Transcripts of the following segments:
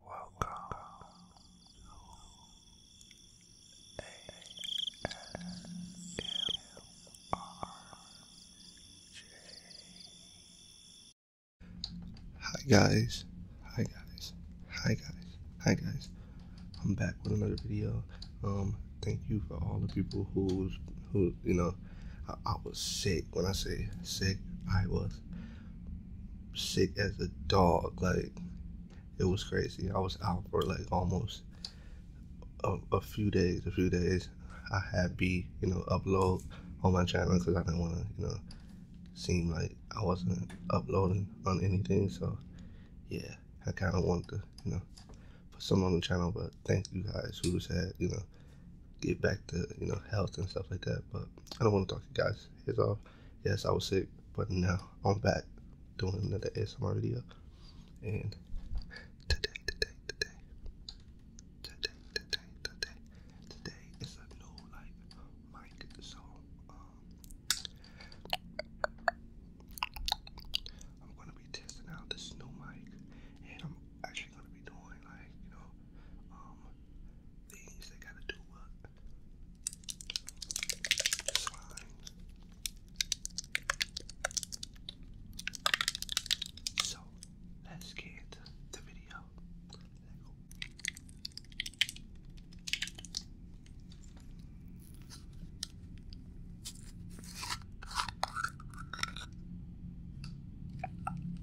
Welcome Hi guys, hi guys, hi guys, hi guys. I'm back with another video. Um, thank you for all the people who's who you know. I, I was sick when I say sick. I was sick as a dog. Like it was crazy. I was out for like almost a, few days. A few days. I had be you know upload on my channel because I didn't want to you know seem like I wasn't uploading on anything. So yeah, I kind of want to you know put some on the channel. But thank you guys who said you know get back to you know health and stuff like that. But I don't want to talk to you guys is off. Yes, I was sick, but now I'm back doing another ASMR video. And today, today, today, today, today, today, today is a new like mic. So um, I'm gonna be testing out this new mic, and I'm actually gonna be doing like you know um, things that got to do with slime. So let's get the video. Let's go.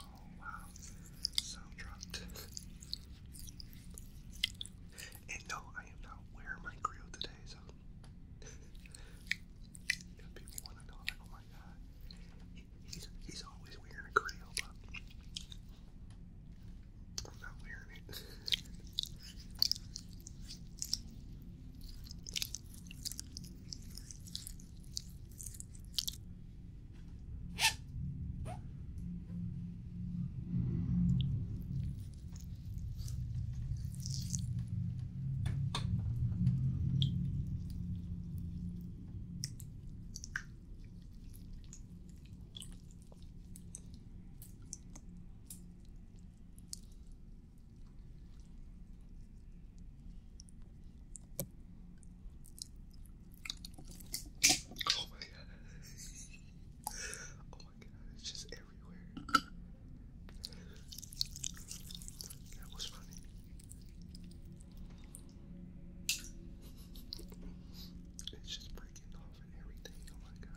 Oh wow, so dropped. and no, I am not wearing my grill today, so people want to know, like, oh my god, he's, he's always wearing a grill, but I'm not wearing it. Oh my god. Oh my god, it's just everywhere. That was funny. It's just breaking the off and everything. Oh my god.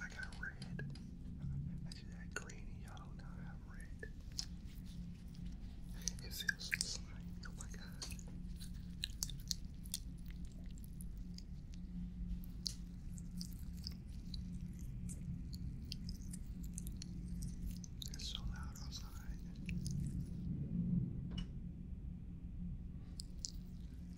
I got red. I just had green and yellow, now I have red. It feels slimy, oh my god. It's so loud outside.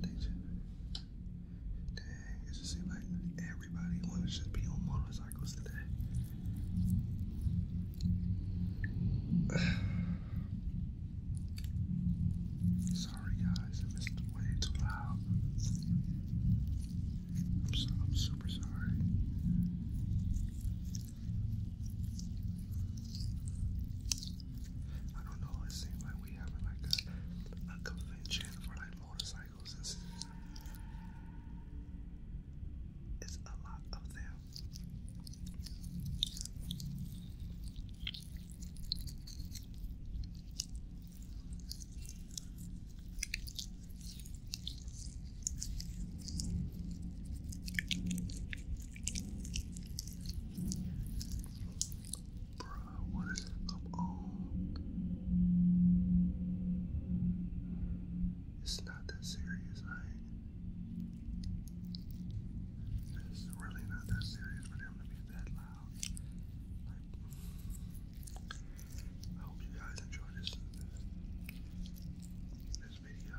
dang, it just seems like everybody wanna be on motorcycles today. Sorry guys, if it's way too loud. I'm super sorry. I don't know, it seems like we having like a, convention for like motorcycles this It's a lot of them. Bro, what is Come on. It's not that serious, right? It's really not that serious for them to be that loud. I hope you guys enjoy this this video.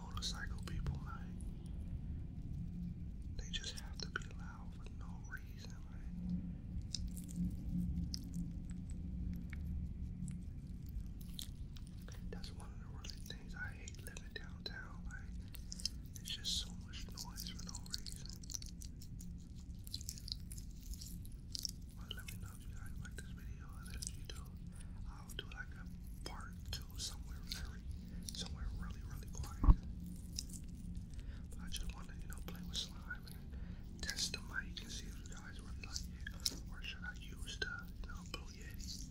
motorcycle people, like, they just have to be loud for no reason, like. That's one of the really things I hate living downtown, like, it's just so much noise for no reason. But let me know if you guys like this video, if you do, I'll do like a part two somewhere very, somewhere really, really quiet. But I just want you know, play with slime and test the mic and see if you guys really like or should I use the, you Blue Yeti?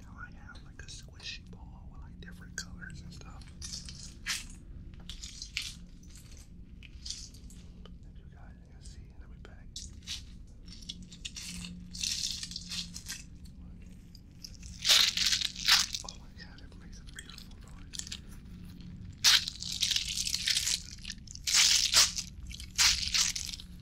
Now I have like a squishy ball with like different colors and stuff. If you guys can see, let me back. Oh my god, it makes a beautiful noise.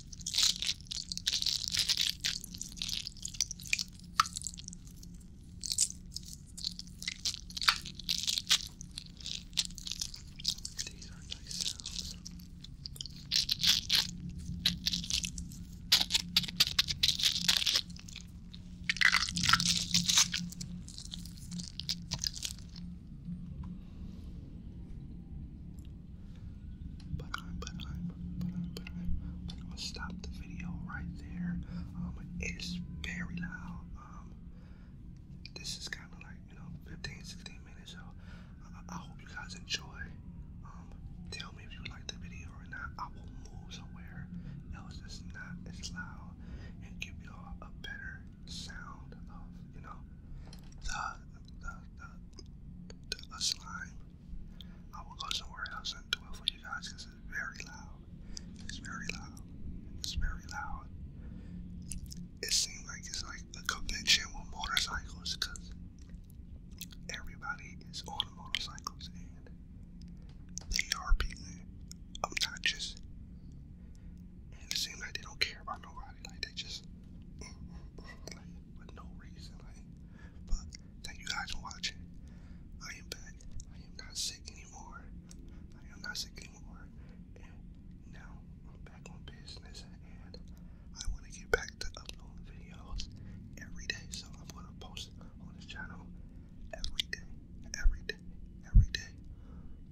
These are nice sounds. But I'm, but I'm, but I'm, but I'm, I'm gonna stop the video right there. Um, it is very loud. Um, this is kind of like you know 15, 16 minutes. So I, hope you guys enjoy. Um, tell me if you like the video or not. I will move somewhere else It's not as loud and give y'all a better sound of you know the the the, a, slime, I will go somewhere else and do it for you guys because it's very loud. It's very loud. It's very loud. It seems like it's like a convention with motorcycles because everybody is on motorcycles and they are being obnoxious. And it seems like don't care about nobody. Like they just for no reason. but thank you guys for watching. I am back. I am not sick anymore. I am not sick anymore. And now I'm back on business and I want to get back to uploading videos every day. So I'm going to post on this channel every day, every day, every day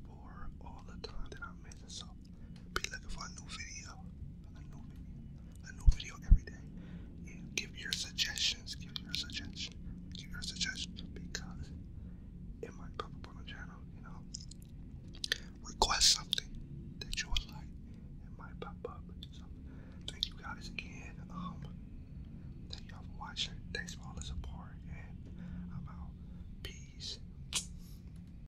for all the time that I'm missing. So be looking for a new video. A new video. A new video every day. give your suggestions. Give your suggestion. Give your suggestion because it might pop up on the channel, you know. Request something that you like. It might pop up. So thank you guys again. Um, thank y'all for watching. Thanks for all the support and I'm out. Peace.